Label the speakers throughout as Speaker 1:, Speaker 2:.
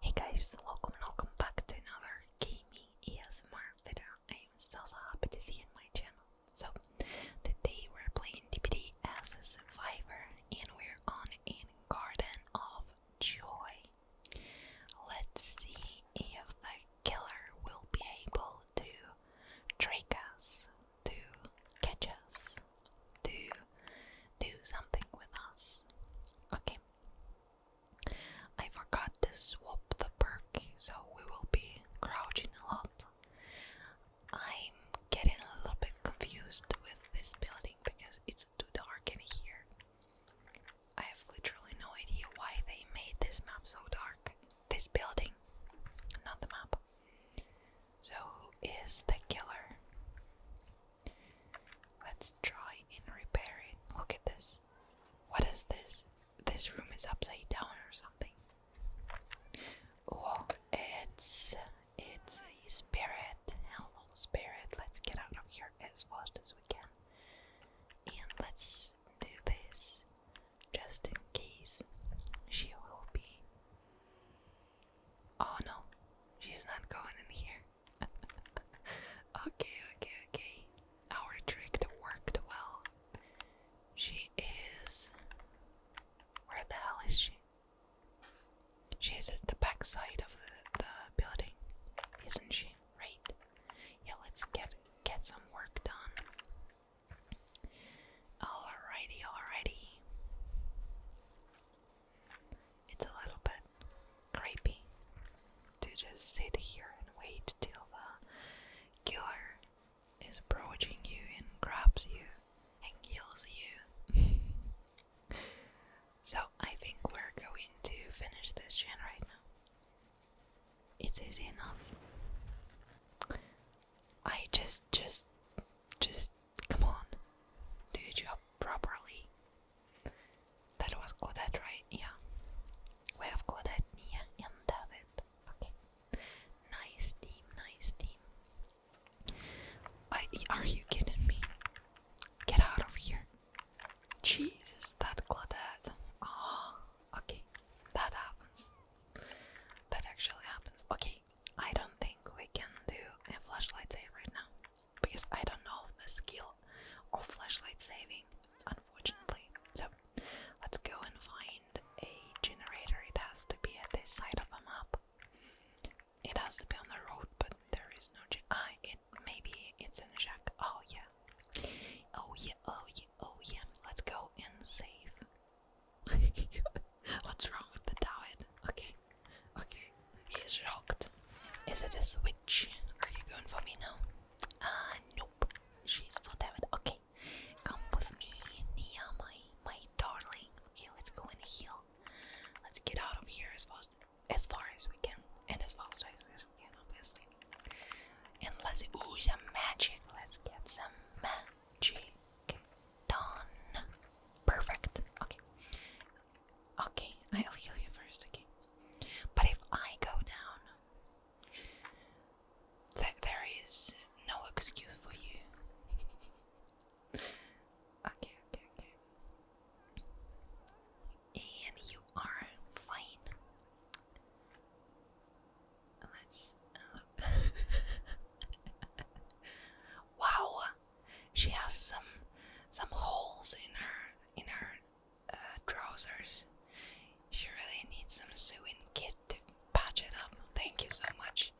Speaker 1: Hey guys, welcome and welcome back to another gaming ASMR video. I am so so happy to see you on my channel. So today we're playing DPD as a survivor and we're on in Garden of Joy. Let's see if the killer will be able to trick us, to catch us, to do something with us. Okay, I forgot to swap the perk, so we will be crouching a lot. I'm getting a little bit confused with this building because it's too dark in here. I have literally no idea why they made this map so dark. This building, not the map. So, who is the killer? Let's try and repair it. Look at this. What is this? This room is upside down or something. Oh, it's it's a spirit. Hello, spirit. Let's get out of here as fast as we can. And let's do this just in case she will be. Oh no, she's not going in here. okay, okay, okay. Our trick worked well. She is. Where the hell is she? She at the back side of the, the building, isn't she? Right? Yeah, let's get get some work done. Alrighty, alrighty. It's a little bit creepy to just sit here and wait till the killer is approaching you and grabs you and kills you. so I think we're going to finish this gen right now. It's easy enough. I just, just, just, come on, do your job properly. That was Claudette, right? Yeah. We have Claudette, near and David. Okay. Nice team, nice team. are you kidding me? Get out of here. Jesus, that Claudette. Ah, oh, okay. That happens. That actually happens. Okay, I don't think we can do a flashlight save right now because I don't know the skill of flashlight saving, unfortunately. So let's go and find a generator. It has to be at this side of the map. It has to be on the road, but there is no. Ah, it maybe it's in a shack. Oh yeah. Oh yeah. Oh yeah. Oh yeah. Let's go and save. What's wrong with the tower? Okay. Okay, he's is Is it a switch? Are you going for me now? Ah, nope. She's for David. Okay, come with me, Nia, my my darling. Okay, let's go and heal. Let's get out of here as fast as far as we can, and as fast as, as we can, obviously. And let's ooh some magic. Let's get some magic done. Perfect. Okay, Okay, I'll heal you first, okay? But if I go down, th there is no excuse for you. okay, okay, okay. And you are fine. Let's. wow, she has some some holes in her in her uh, trousers. She really needs some sewing kit to patch it up. Thank you so much.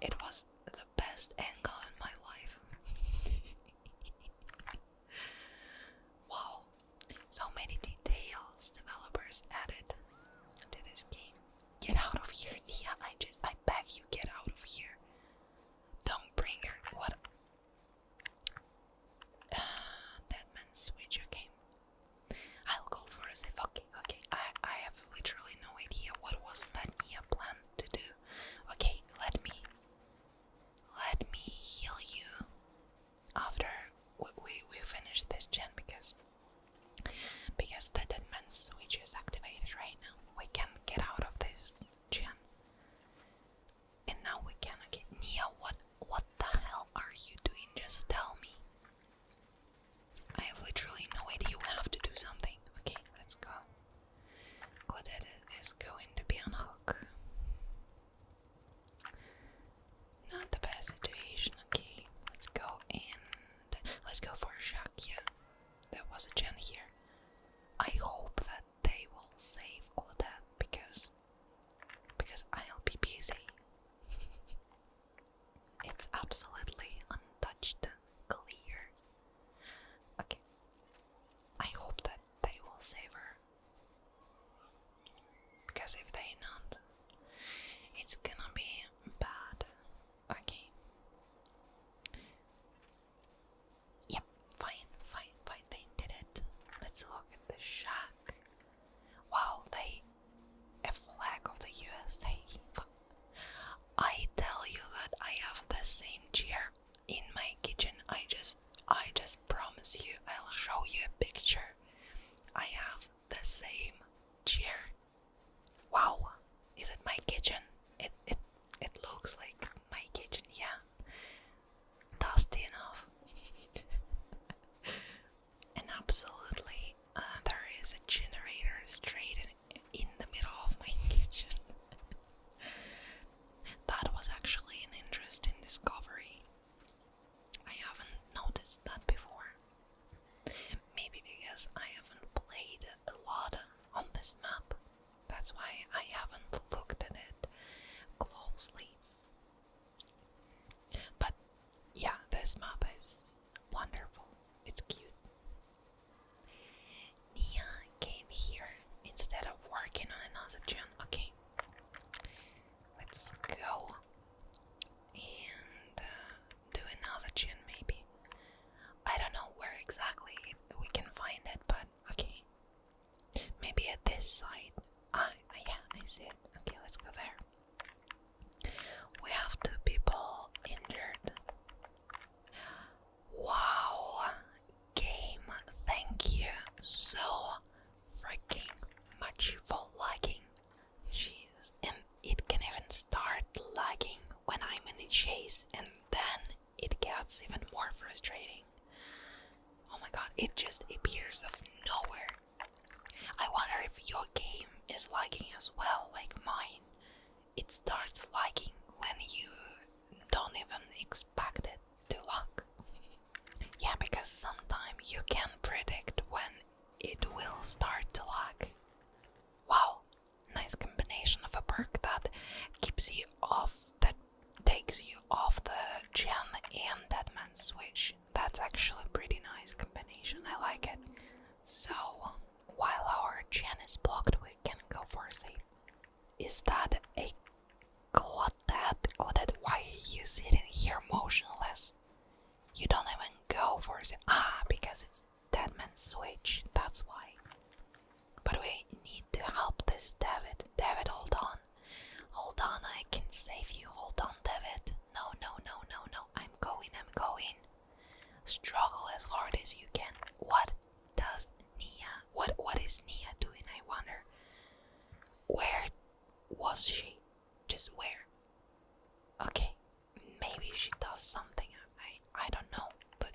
Speaker 1: It was the best angle in my life. wow, so many details developers added to this game. Get out of here, Nia! I just I beg you, get out of here. Don't bring her. What? Uh, that man's I'll go for a if okay, okay. I, I have literally no idea what was that Mia planned to do. Okay, let me let me heal you after we, we, we finish this gen because because the dead man's switch is activated right now. We can not get out of this Jen. And now we can okay. Nia, what what the hell are you doing? Just tell me. I have literally no idea. You have to do something. Okay, let's go. Claudette is going to be on hook. Not the best situation. Okay, let's go and let's go for a shock. Yeah, there was a gen here. I hope that they will save Claudette because because I'll be busy. it's absolutely untouched, clear. Okay. I hope that they will save her. Because if they not, it's gonna be bad. Okay. Yep, fine, fine, fine. They did it. Let's look at the shack. Wow, they a flag of the USA. I tell you that I have the same chair in my kitchen. I just I just promise you I'll show you a picture. I have the same chair. Wow, is it my kitchen? It it it looks like my kitchen, yeah. Dusty enough. and absolutely, uh, there is a generator straight in the middle of my kitchen. that was actually an interesting discovery. I haven't noticed that before. Maybe because I haven't played a lot on this map. That's why I haven't looked at it closely. But yeah, this map is wonderful. It's cute. Nia came here instead of working on another gen. Okay, let's go and uh, do another gen maybe. I don't know where exactly we can find it, but Okay. Maybe at this side. Ah, yeah, I see it. Okay, let's go there. We have two people injured. Wow, game, thank you so freaking much for lagging. Jeez, and it can even start lagging when I'm in a chase and then it gets even more frustrating. Oh my god, it just appears of nowhere. I wonder if your game is lagging as well, like mine. It starts lagging when you don't even expect it to lag. yeah, because sometimes you can predict when it will start to lag. Wow, nice combination of a perk that keeps you off, that takes you off the Gen and Deadman switch. That's actually a pretty nice combination, I like it. So, while our Gen is blocked, we can go for a save. Is that a Claudette? Claudette, why are you sitting here motionless? You don't even go for the Ah, because it's Deadman Switch, that's why. But we need to help this David. David, hold on. Hold on, I can save you. Hold on, David. No, no, no, no, no. I'm going, I'm going. Struggle as hard as you can. What does Nia what what is Nia doing, I wonder? Where was she? Just where? Okay, maybe she does something. I I don't know, but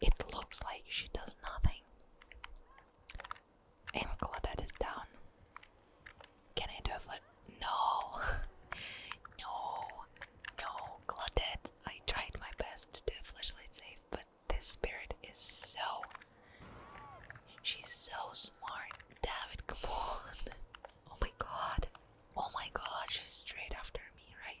Speaker 1: it looks like she does nothing. And Claudette is down. Can I do a flat? No! no! No, Claudette! I tried my best to flashlight save, but this spirit is so. She's so smart. David, come on! Oh my god! Oh my god, she's straight after me, right?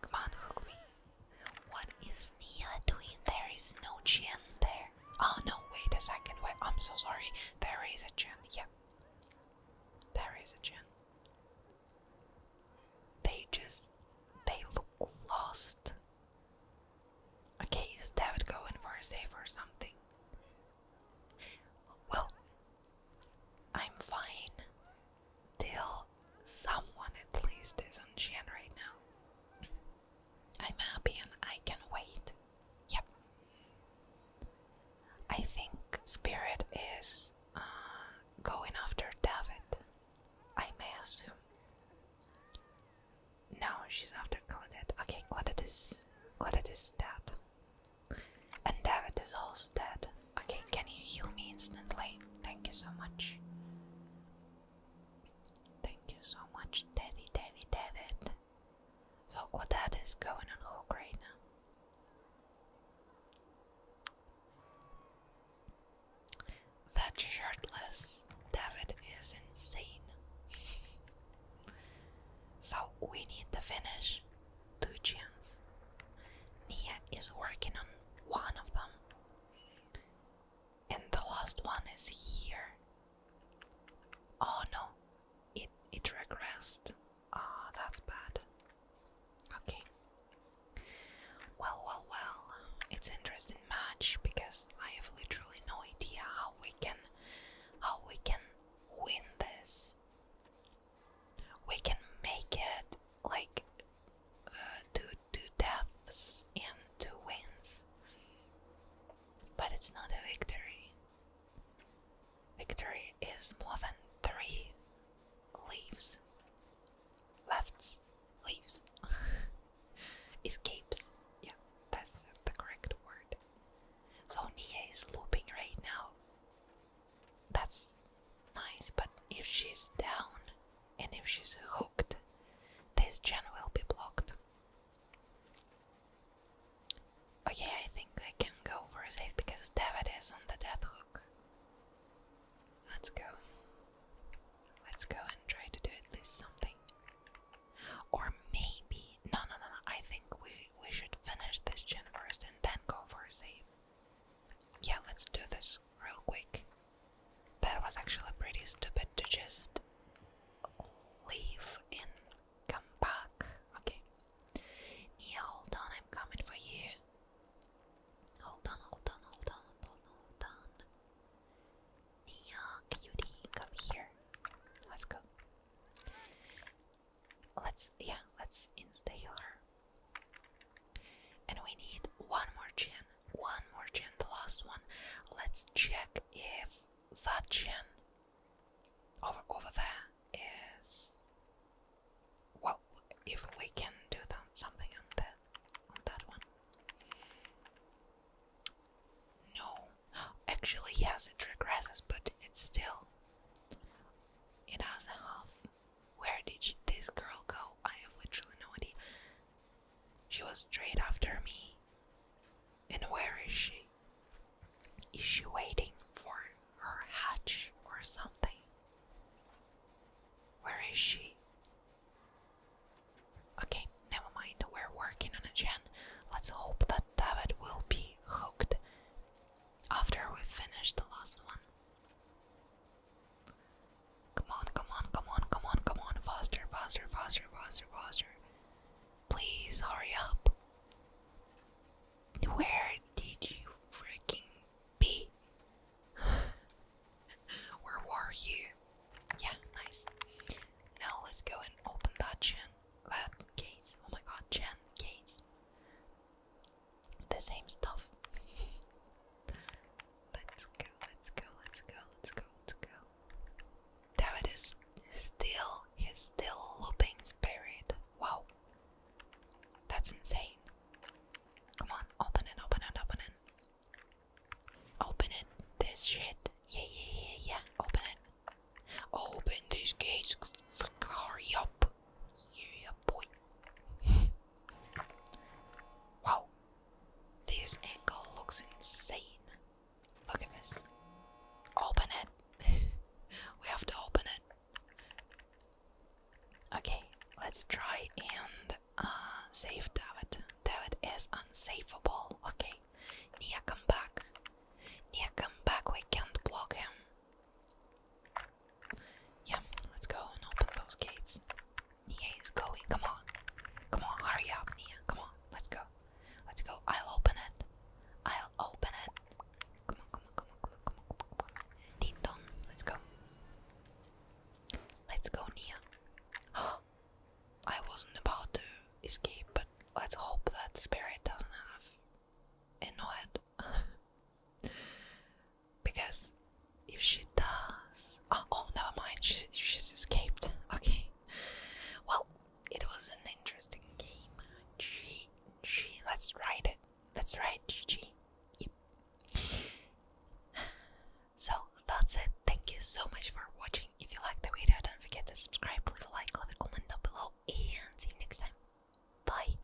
Speaker 1: Come on, hook me. What is Nia doing? There is no Chen there. Oh no, wait a second. Wait, I'm so sorry. There is a Chen. Yep. There is a Chen. They just. They look lost. Okay, is David going for a save or something? Well, I'm fine till someone at least is on Gen right now. I'm happy and I can wait. Yep. I think Spirit is uh, going after David. I may assume. No, she's after Claudette. Okay, Claudette is Claudette is dead, and David is also dead. Okay, can you heal me instantly? Thank you so much. Thank you so much, David. Devi, David. So Quadad is going on right now. That shirtless David is insane. so we need to finish two gyms. Nia is working on one of them. And the last one is here. Oh no, it it regressed. Ah, oh, that's bad. Okay. Well, well, well. It's interesting match because I have literally no idea how we can how we can win this we can make it like uh, two, two deaths and two wins. But it's not a victory. Victory is more than three leaves. Lefts, leaves, escapes. Yeah, that's the correct word. So Nia is looping right now that's nice, but if she's down and if she's hooked, this gen will be blocked. Okay, I think I can go for a save because David is on the death hook. Let's go. Let's go and try to do at least something. Or maybe no no no no I think we we should finish this gen first and then go for a save. Yeah, let's do this real quick. That was actually pretty stupid to just leave and come back. Okay. Yeah, hold on, I'm coming for you. Hold on, hold on, hold on, hold on, hold on. Nia, cutie, come here. Let's go. Let's, yeah, let's install her. And we need one more gen, one more gen, the last one. Let's check if that gen over over there is well if we can do something on that on that one. No. Actually yes it regresses but it's still it has a half. Where did this girl go? I have literally no idea. She was straight after me. And where is she? Is she waiting for her hatch or something? Where is she? Okay, never mind. We're working on a gen. Let's hope that David will be hooked after we finish the last one. Come on, come on, come on, come on, come on. Faster, faster, faster, faster, faster. Please hurry up. Where did you freaking be? Where were you? Yeah, nice. Now let's go and open that chin. That case. Oh my god, chin case the same stuff. let's go, let's go, let's go, let's go, let's go. David is still, he's still looping spirit. Wow. That's insane. Come on, open it, open it, open it. Open it, this shit. Yeah, yeah, yeah, yeah, open it. Open these gates, hurry up. You, Yeah, boy. wow, this angle looks insane. Look at this. Open it. we have to open it. Okay, let's try and uh, save David. David is unsavable. Okay, Nia, come back. Nia, come back. We can't block him. Yeah, let's go and open those gates. Nia is going. Come on. Come on, hurry up, Nia. Come on, let's go. Let's go. I'll open it. I'll open it. Come on, come on, come on, come on, come on, come on. Ding dong, let's go. Let's go, Nia. I wasn't about to escape, but let's hope that spirit doesn't have annoyed. because if she does, oh, oh never mind, she, she's escaped. Okay, well, it was an interesting game. G, G, let's write it. That's right, GG. Yep. so that's it. Thank you so much for watching. If you liked the video, don't forget to subscribe, leave a like, leave a comment down below, and see you next time. Bye.